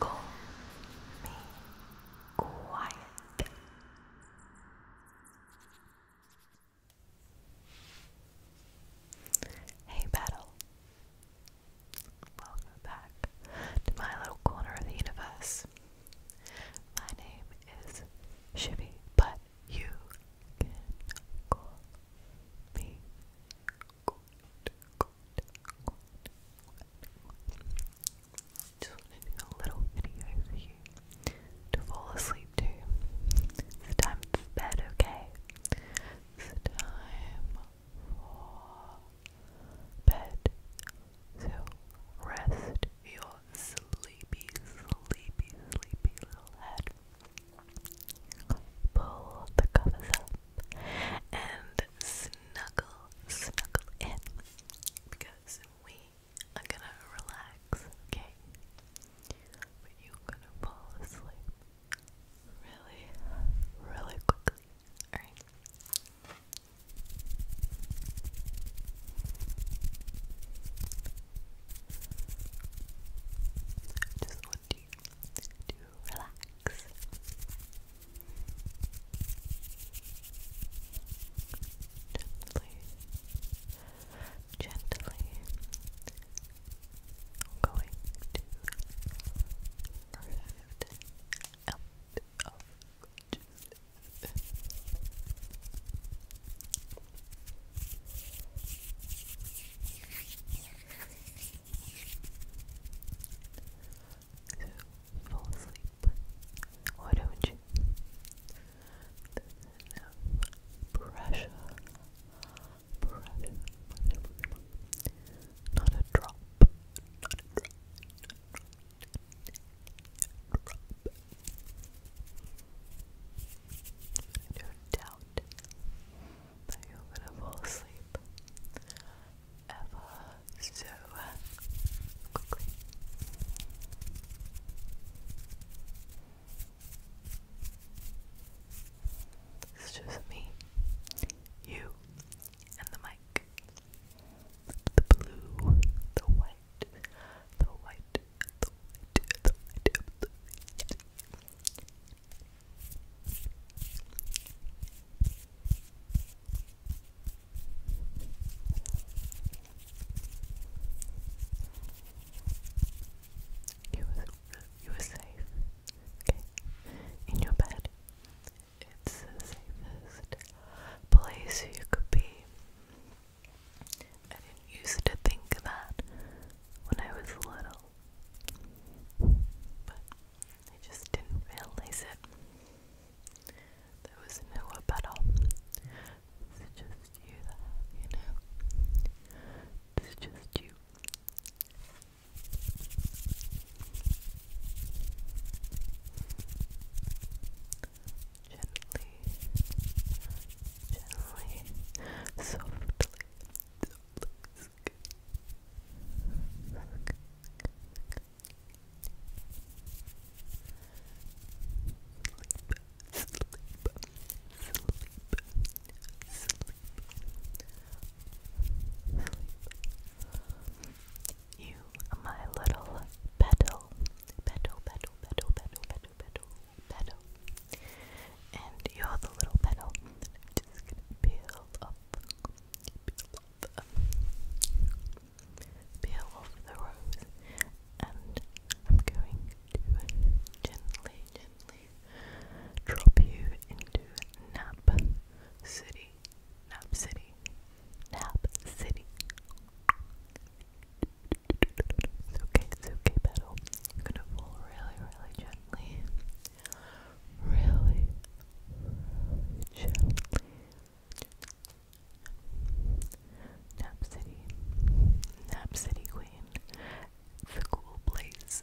Go be quiet. Hey, Battle. Welcome back to my little corner of the universe. My name is Shivy, but you can call me good, good, Just want a little video for you to fall asleep to. It's time for bed, okay? It's time for bed. So rest your sleepy, sleepy, sleepy little head pull the covers up and snuggle, snuggle in because we are gonna relax, okay? But you're gonna fall asleep really, really quickly, alright? just want you to relax. Gently, gently, going to lift out so fall asleep. Why don't you? There's pressure. Pressure. Not a drop. Not doubt that you're gonna fall asleep ever so quickly. It's just me, you, and the mic. The blue, the white, the white, the white, the white, you were, you were safe, okay? In your bed, it's the safest place you could be. I used to think that when I was little well. But I just didn't realize it. There was no battle. It's just you you know. It's just you. Gently, gently, softly, softly, you, my little petal, petal, petal, petal, petal, petal, petal, petal. And you're the little petal. I'm just gonna peel off, peel off, peel off the rose, and I'm going to gently, gently drop you into Nap City, Nap City, Nap City. It's okay, it's okay, petal. I'm gonna pull really, really gently. really gently. Nap City. Nap City Queen. The cool place.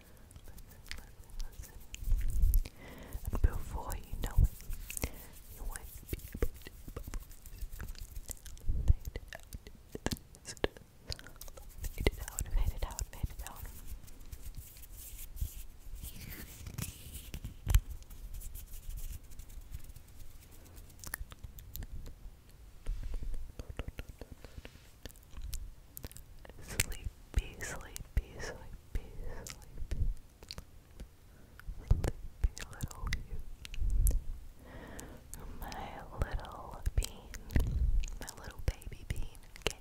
listen, before you know it, you won't be able to fade it out, fade it out, fade it out, Sleepy, sleepy, sleepy, sleepy. Sleepy little you. My little bean. My little baby bean. Okay.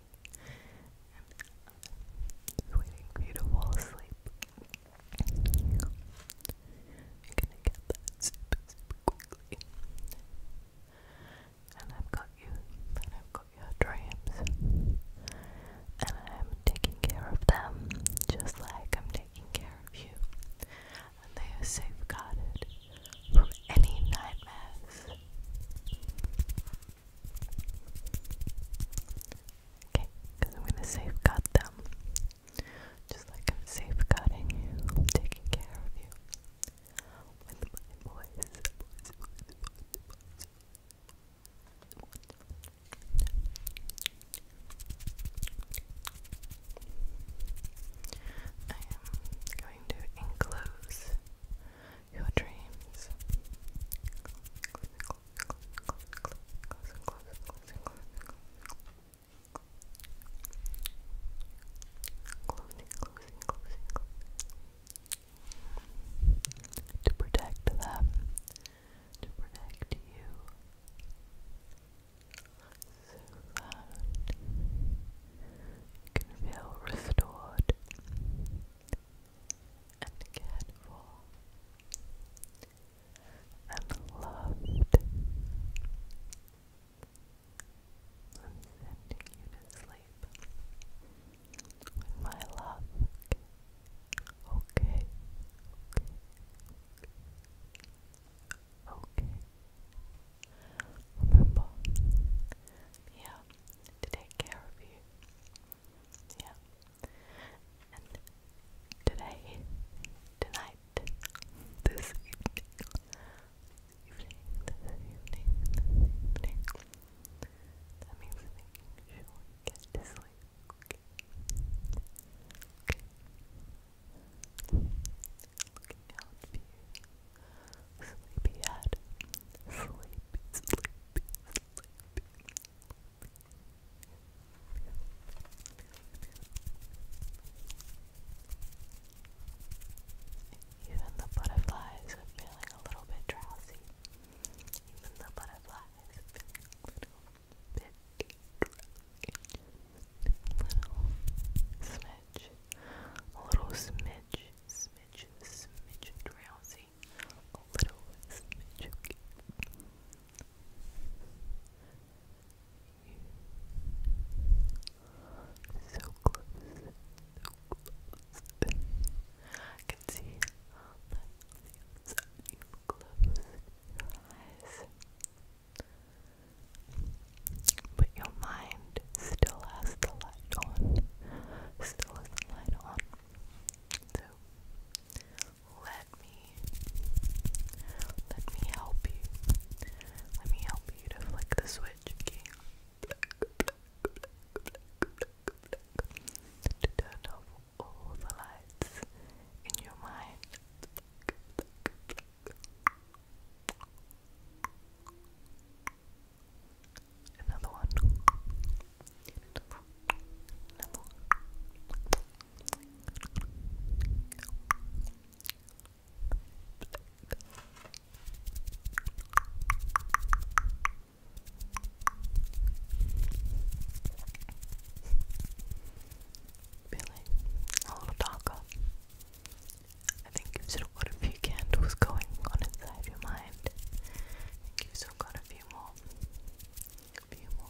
I'm waiting for you to fall asleep. You're gonna get that super, super quickly and I've got you, and I've got your dreams, and I'm taking care of them just like I'm taking care of you, and they are safeguarded from any nightmares. Okay, because I'm going to safeguard them just like I'm safeguarding you, taking care of you with my I am going to enclose your dreams closing, closing, closing. To protect them, to protect you. So that you can feel restored and cared for and loved. I'm sending you to sleep with my love, okay? Okay, okay, okay. Remember, yeah, to take care of you, yeah. And today, tonight, this evening, evening, That means making sure you get to sleep, okay? Looking out for you, Sleepy, sleepy, Sleepy, sleepy, sleepy. Even the butterflies are feeling a little bit drowsy. Even the butterflies a little bit Little smidge, a little smidge, smidge, smidge drowsy. A little smidge. So close, I can see that on But your mind still has the light on. Still has the light on. So let me let me help you. Let me help you to flick the switch magic black, to turn off all the lights in your mind. Another one. Another one. Really? A little darker. I think you still got a few candles going on inside your mind. you still got a few more. A few more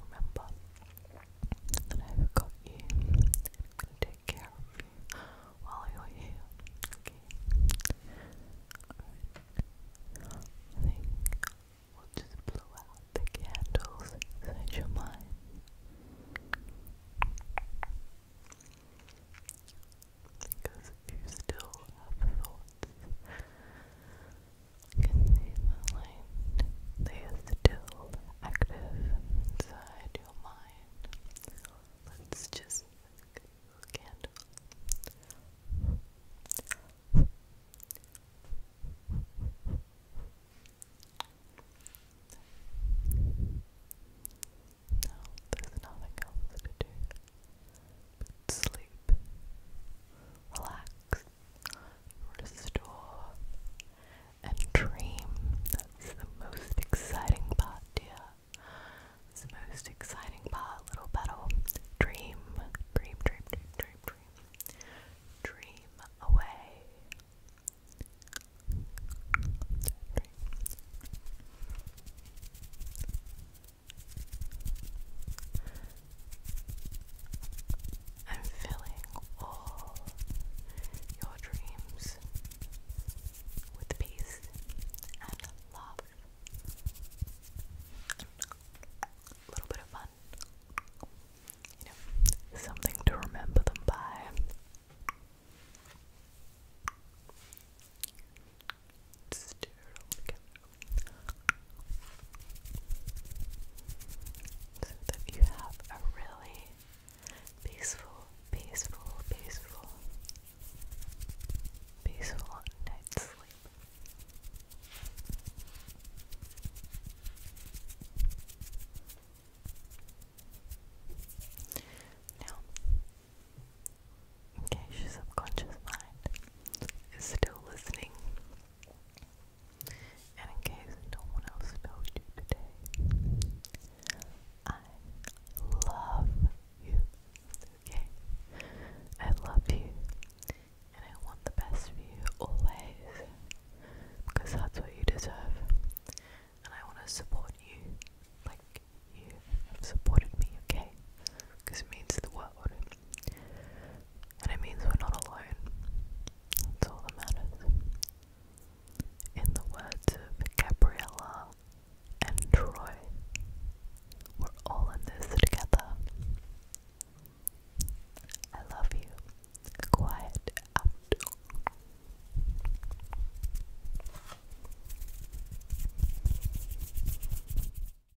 Remember that I've got you. I'm gonna take care of you while you're here. Okay. I think we'll just blow out the candles inside your mind. Because you still have thoughts can see the light. They are still active inside your mind. Let's just candle. No, there's nothing else to do sleep, relax, restore, and dream. That's the most exciting part, dear. It's the most exciting part, little petal. Dream, dream, dream, dream, dream, dream. away. Dream. I'm filling all your dreams with peace and love. A little bit of fun. You know, something to remember them by. Stir it all so that you have a really peaceful, peaceful, peaceful, peaceful night's sleep. Now, in your subconscious mind is still listening. And in case no one else knows you today, I love you. Okay? I love you. And I want the best for you always. Because that's what you deserve. And I want to support you like you have supported me, okay? Because it means the world. And it means we're not alone. That's all that matters. In the words of Gabriella and Troy, we're all in this together. I love you. Quiet out.